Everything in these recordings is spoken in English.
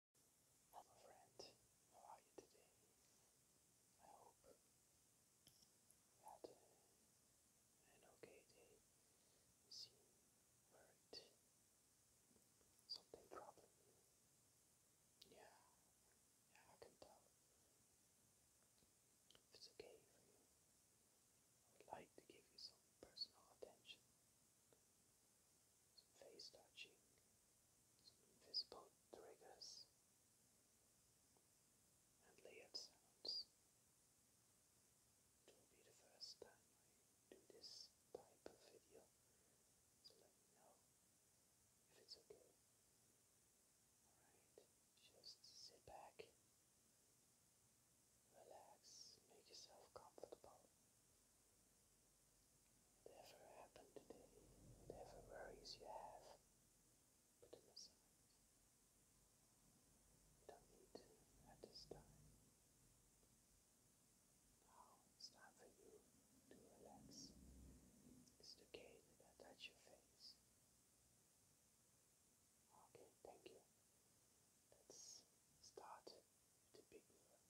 Hello friends, how are you today? I hope you had an okay day. You seem worried. Something troubling you. Yeah, yeah, I can tell. If it's okay for you, I would like to give you some personal attention. Some face touching, invisible triggers and layered sounds. It will be the first time I do this type of video, so let me know if it's okay. Alright, just sit back, relax, make yourself comfortable. Whatever happened today, whatever worries you have, put them aside. don't need to at this time. Now it's time for you to relax. It's okay that I touch your face. Okay, thank you. Let's start the big one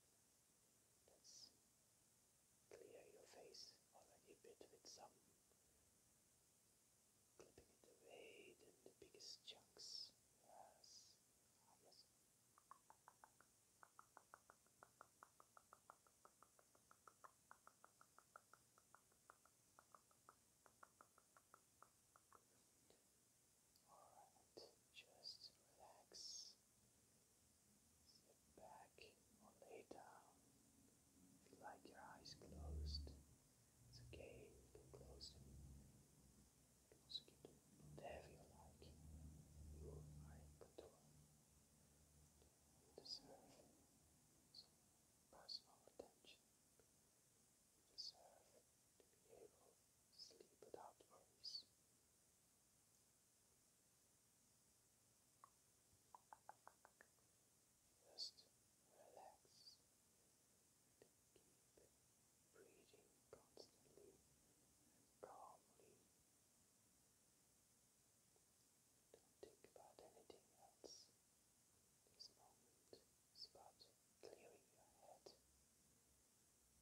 that's clear your face already a bit with some clipping it away, then the biggest chunks. Yes, ah, yes. All right, just relax. Sit back or lay down. If like your eyes closed, it's okay, you can close them. You can also keep them whatever you like. You are in control. You deserve some personal attention. You deserve to be able to sleep without worries. Just relax keep breathing constantly and calmly. Don't think about anything else. This moment is about clearing your head getting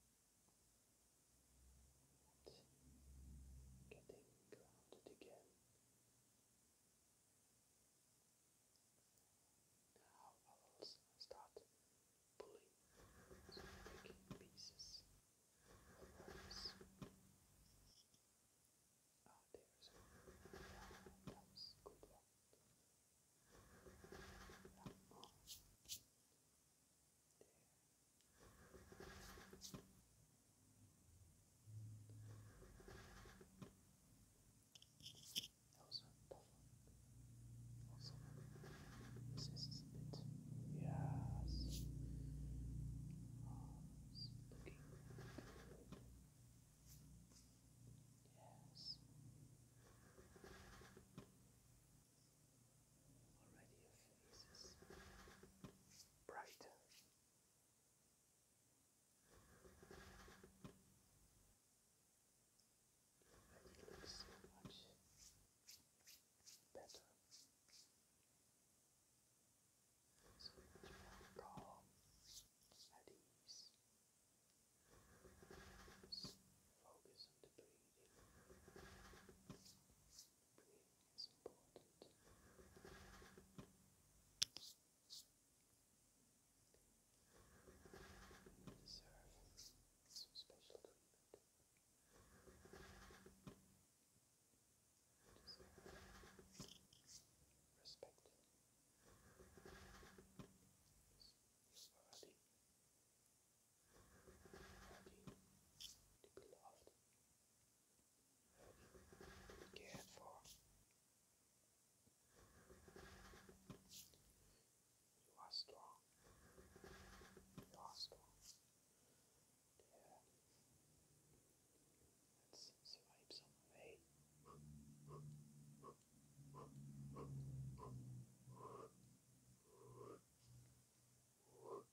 grounded again. Now I start pulling some pieces Ah, there's one. that was good one. Yeah, There. Also, also, this is a bit, uh, yes, oh, it's looking good. yes, Already your face is bright. And looks much better. So much more Focus on the breathing breathing is important. You deserve special treatment. deserve respect. You beloved, cared for. You are strong. You are strong. Let's swipe some away.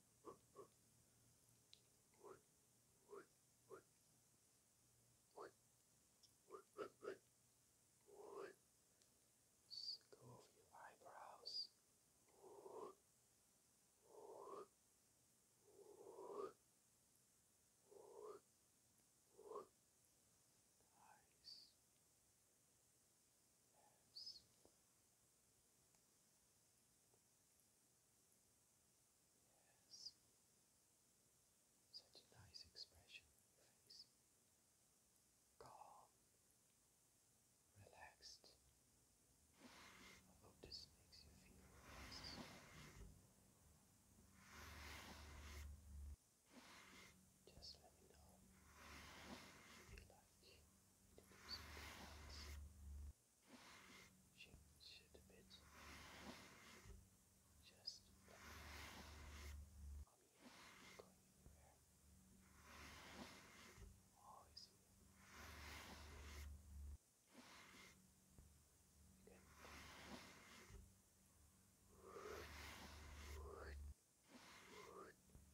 Just go over your eyebrows. Nice. Yes. Yes. Such a nice expression face. Calm, relaxed. I hope this makes you feel relaxed. Just let me know Change it a bit. Just let me know. I'm here. I'm going anywhere. I'm always here. Good. Good. Good. Good. Good.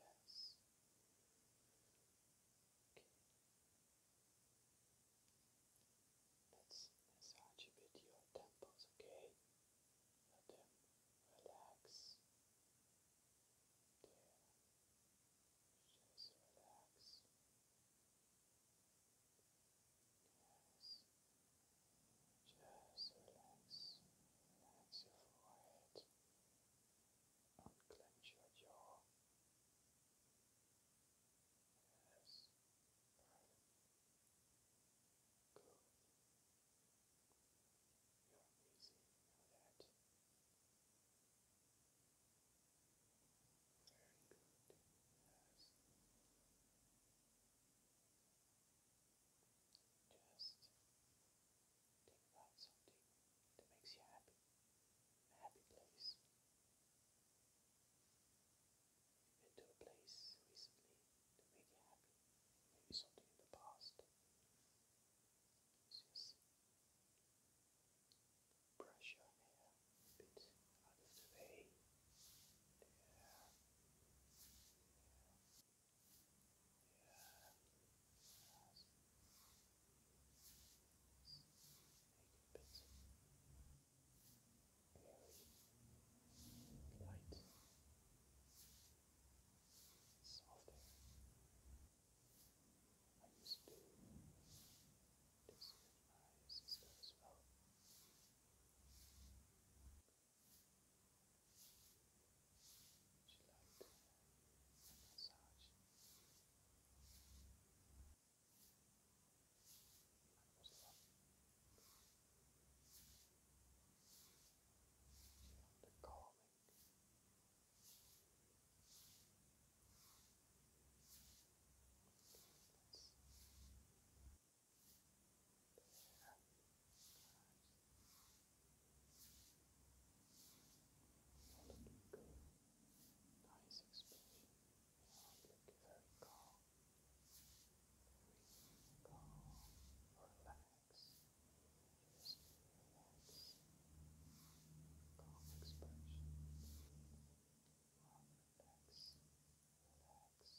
Yes. Okay. Let's massage a bit your temples, okay? Let them relax. There. Just relax. Yes. Just relax. Relax your forehead. Unclench your jaw. Yes. Good. You're easy. Very good. Yes. Just think about something that makes you happy, a happy place. you to a place recently that made you happy, maybe something in the past. just brush your hair a bit out of the way. Yeah. Yeah. Yeah. a bit very light, softer. I used to this with my would you like to a massage? That was lovely. Would you like the calming? Let's Nice expression. You look very calm. Very calm. Relax. Just relax. Calm expression. Relax. Relax.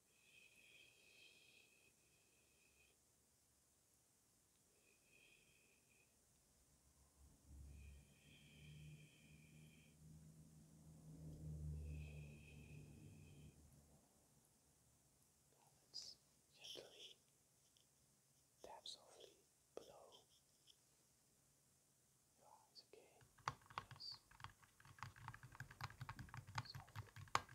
Balance gently, tap softly below your eyes again. Yes. Softly.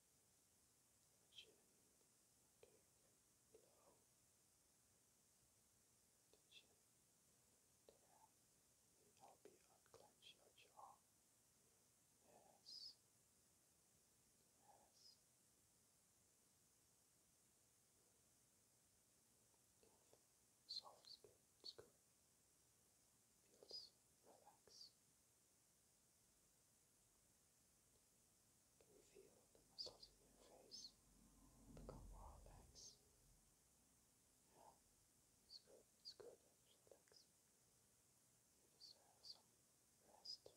chin, okay, the chin, there, and help you unclench your jaw, yes, yes, soft skin, it's feels relaxed. Relax. You feel the muscles in your face become more relaxed. Yeah, it's good, it's good, it's relax. You deserve some rest,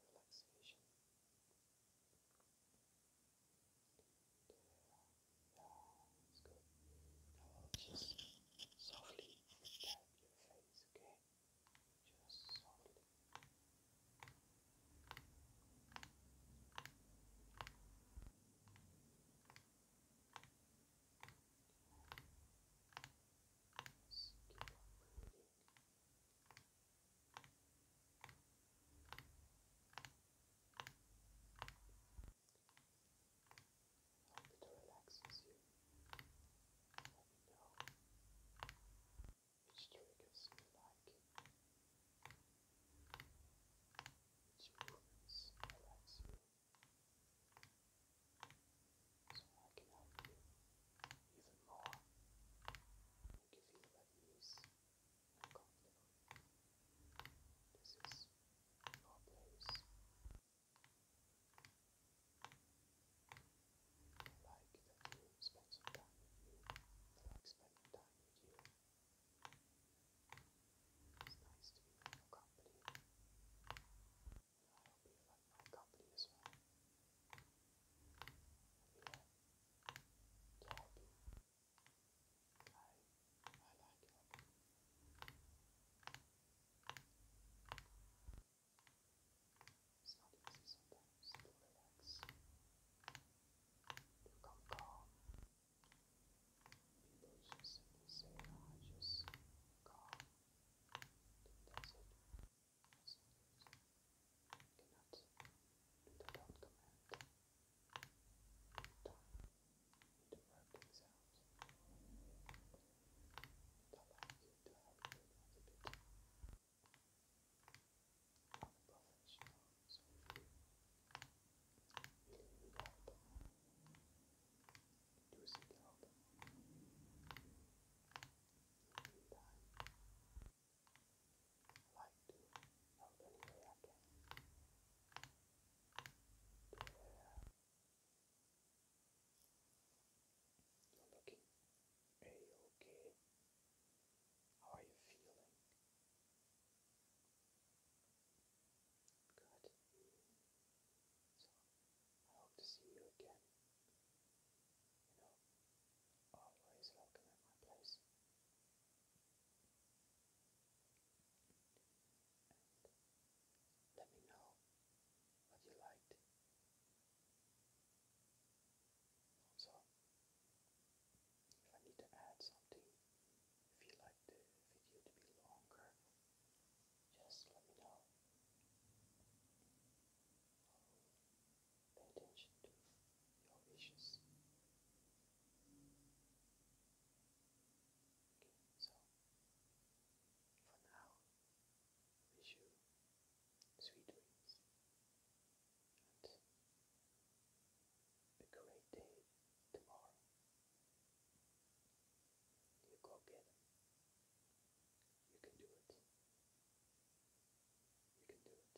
relaxation. The, it's good. I'll just softly tap your face, okay? Just softly. Hope it relaxes you. Let me know which triggers you like, which movements relax you, so I can help you even more, make you feel at ease and comfortable. This is your place like that you spend some time with you. I like spending time with you. It's nice to be in your company. I hope you like my company as well. I'm I like it. It's not easy sometimes to calm. People just say, I just calm. That's it. That's not easy. You do that on to work things allow you to have good attitude. I'm a you need help. Do seek help. In the meantime, I like to help any I can. To, uh, you're looking A-okay. How are you feeling? Good. So, I hope to see you again. You know, always welcome at my place and let me know what you liked. Also, if I need to add something, if you like the video to be longer, just let me know. Um, pay attention to your wishes. Okay, so for now, wish you sweet dreams and a great day tomorrow. You go get it. You can do it. You can do it.